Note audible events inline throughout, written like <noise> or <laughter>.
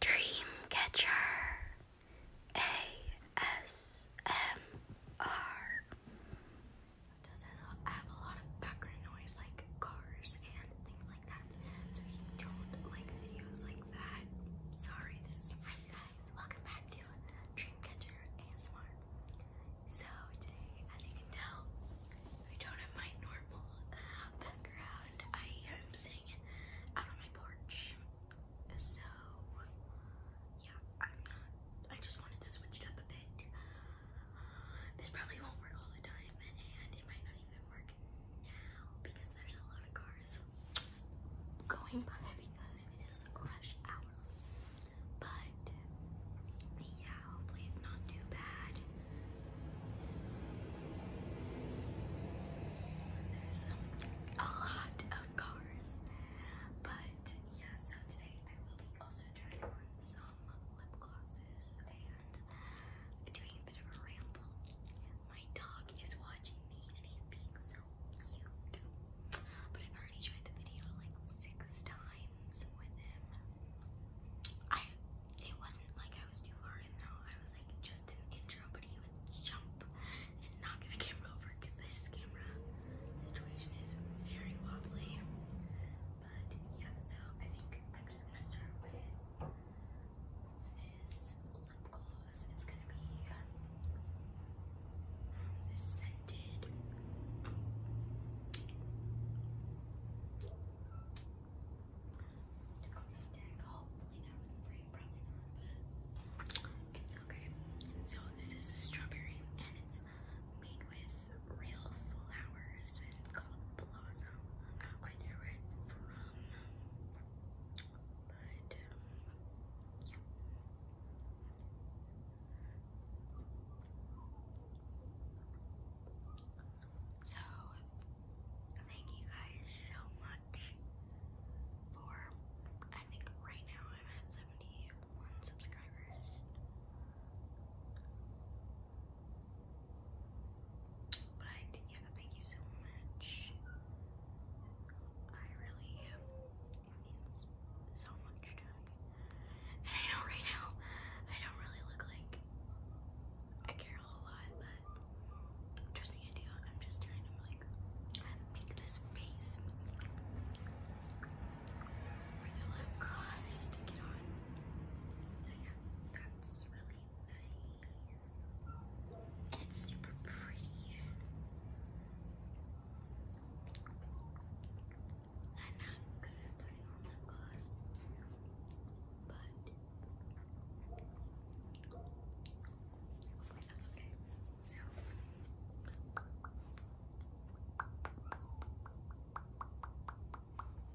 Dreamcatcher ASMR. have a lot of background noise like cars and things like that. So if you don't like videos like that, sorry. This is Hi guys, welcome back to Dreamcatcher ASMR. So today, as you can tell, I don't have my normal uh, background. I am sitting out on my porch. So, yeah, I'm not. I just wanted to switch up a bit. Uh, this probably won't work all the time, and it might not even work now because there's a lot of cars going by <laughs> because it is rush hour. But yeah, hopefully it's not too bad. There's um, a lot of cars. But yeah, so today I will be also trying on some lip glosses and doing a bit of a ramble. My dog is watching me and he's being so cute. But I've already tried the video like six times with him. I it wasn't like I was too far in though. I was like just an intro, but he would jump and knock the camera over because this camera situation is very wobbly. But yeah, so I think I'm just gonna start with this lip gloss. It's gonna be um, this scented took off okay. So this is strawberry and it's made with real flowers and it's called Blossom. I'm not quite sure it's from, but yeah. So, thank you guys so much for, I think right now I'm at 71 subscribers. But yeah, thank you so much. I really, it means so much to me. And I know right now I don't really look like I care a whole lot, but I'm trusting I do. I'm just trying to like make this face for the lip gloss to get on. So yeah, that's really nice. And it's super pretty. I'm not good at putting on lip gloss, but hopefully that's okay. So.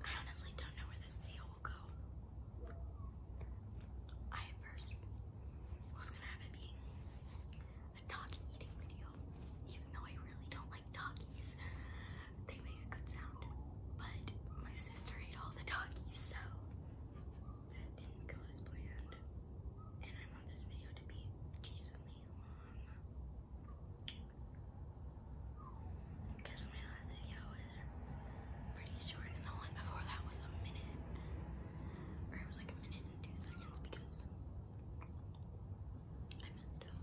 honestly don't know where this video will go. I at first was gonna have it being a dog eating video, even though I really don't like doggies. They make a good sound, but my sister ate all the doggies, so that didn't go as planned. And I want this video to be decently long. Because my last video was pretty short, and the one before that was a minute. Or it was like a minute and two seconds because I messed up.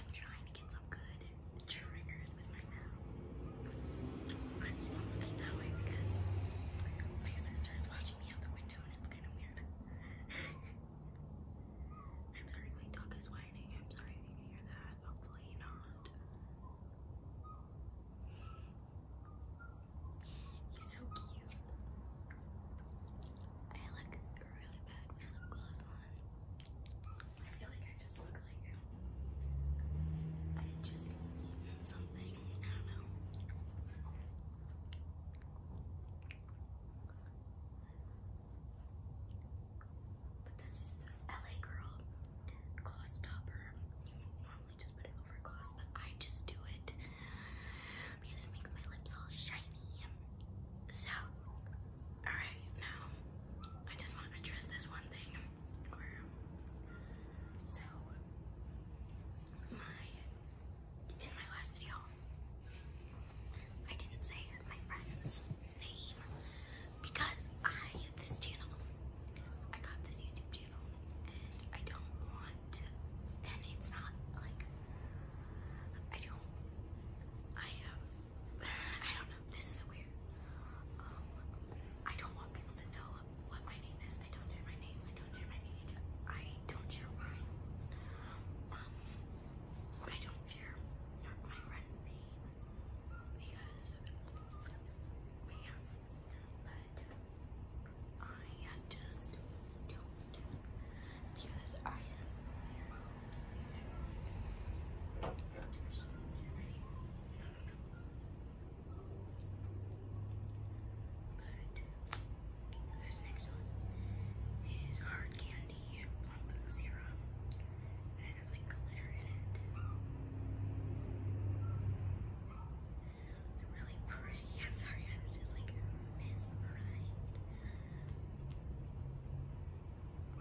I'm trying to get some good triggers I'm my mouth. that way because my sister is watching me out the window and it's kind of weird. I'm sorry my dog is whining. I'm sorry if you hear that. Hopefully not. He's so cute. I look really bad with lip on. I feel like I look like I just something, I don't know. But this is LA Girl gloss topper. normally just put it over gloss, but I just do it because it makes my lips all shiny. So, alright, now I just want to address this one thing. So, my, in my last video, I didn't say my friend's name because I, this channel, I got this YouTube channel and I don't want and it's not like, I don't, I have, I don't know, this is weird here. Um, I don't want people to know what my name is. I don't share my name. I don't share my age. I don't share mine. Um, I don't share my friend's name because yeah. But I just don't because I am. Um, I don't know. But this next one is hard candy plumping serum. And it has like glitter in it. It's really pretty. I'm sorry, I was just like mesmerized.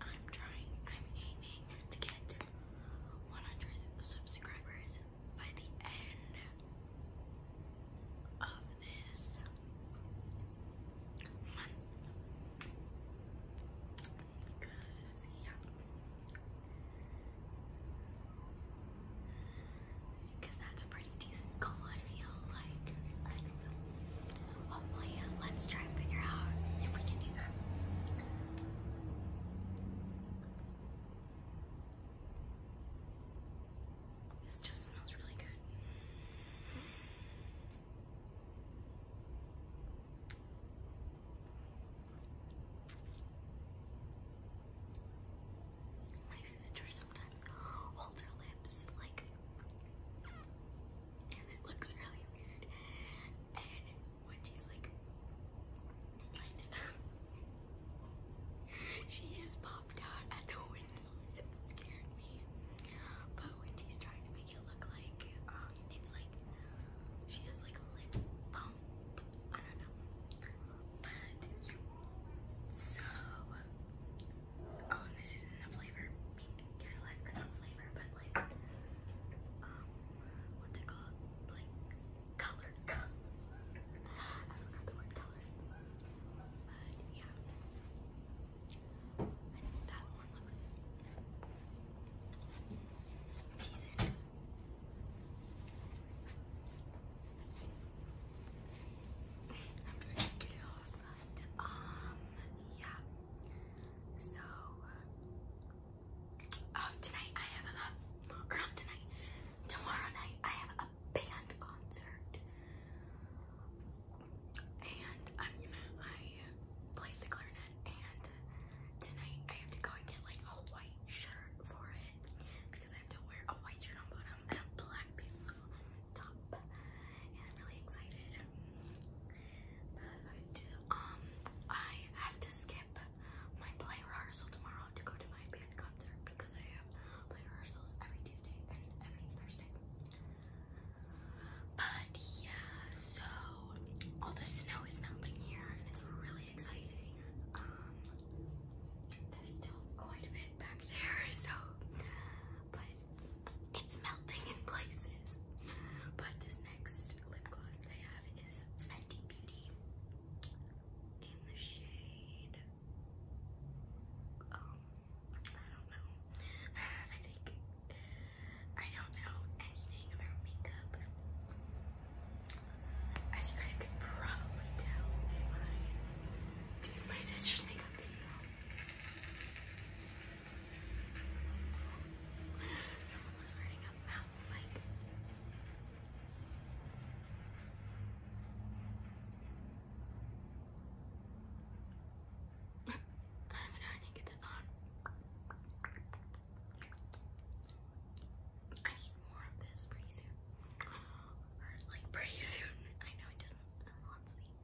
I'm trying, I'm aiming to get 100 subscribers by the end of this month. Because, yeah. Because that's a pretty decent goal, I feel like hopefully uh, let's try and figure out if we can do that. This just smells really good. My sister sometimes holds her lips like and it looks really weird. And when she's like, <laughs> she just popped out at the window. It scared me. But when she's trying to make it look like um, it's like she has like a lip bump. I don't know. But yeah. So, oh, and this isn't a flavor. Pink Cadillac flavor, but like, um, what's it called? Like, color. <laughs> I forgot the word color. But yeah. I think that one looks decent. I'm going to get it off. Um, yeah. So, um, tonight I have a, or not tonight, tomorrow night I have a band concert. And I'm gonna, I play the clarinet and tonight I have to go and get like a white shirt for it because I have to wear a white shirt on bottom and a black pants on top and I'm really excited. But um, I have to skip my play rehearsal tomorrow to go to my band concert because I have play rehearsals every Tuesday and every Thursday. But yeah, so all the snow is melting here and it's really exciting. Um, there's still quite a bit back there, <laughs> so it's melting in places. But this next lip gloss that I have is Fenty Beauty in the shade. Um, I don't know. <laughs> I think I don't know anything about makeup. As you guys could probably tell in my sister's makeup video. Someone was wearing a mouth mic. I don't know how to get this on. I need more of this pretty soon. <laughs> Or like pretty soon. I know it doesn't honestly yeah.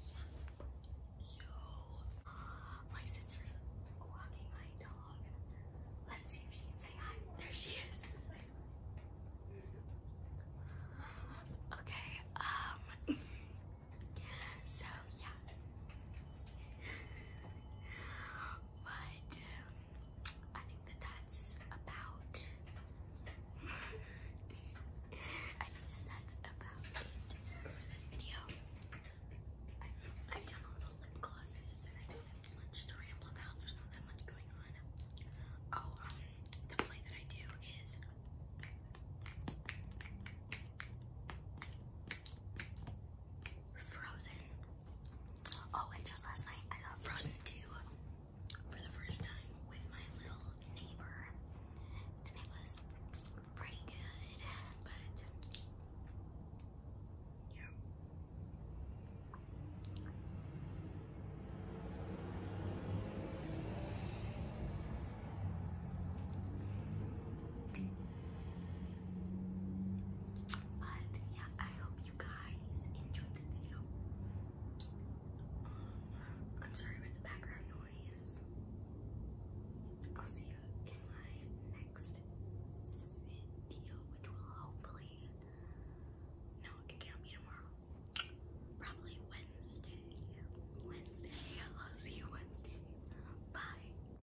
So, my sister's walking my dog. Let's see if she can say hi. There she is. Okay, <laughs> um, so yeah but um, I think that that's about I think that that's about it for this video. I, have done all the lip glosses and I don't have much to ramble about. There's not that much going on. Oh, um, the play that I do is Frozen. Oh, and just last night I got Frozen 2 for the first time with my little neighbor, and it was pretty good, but but yeah, I hope you guys enjoyed this video. Um, I'm sorry about the background noise. I'll see you in my next video, which will hopefully no, it can't be tomorrow. Probably Wednesday. Wednesday. I'll see you Wednesday. Bye.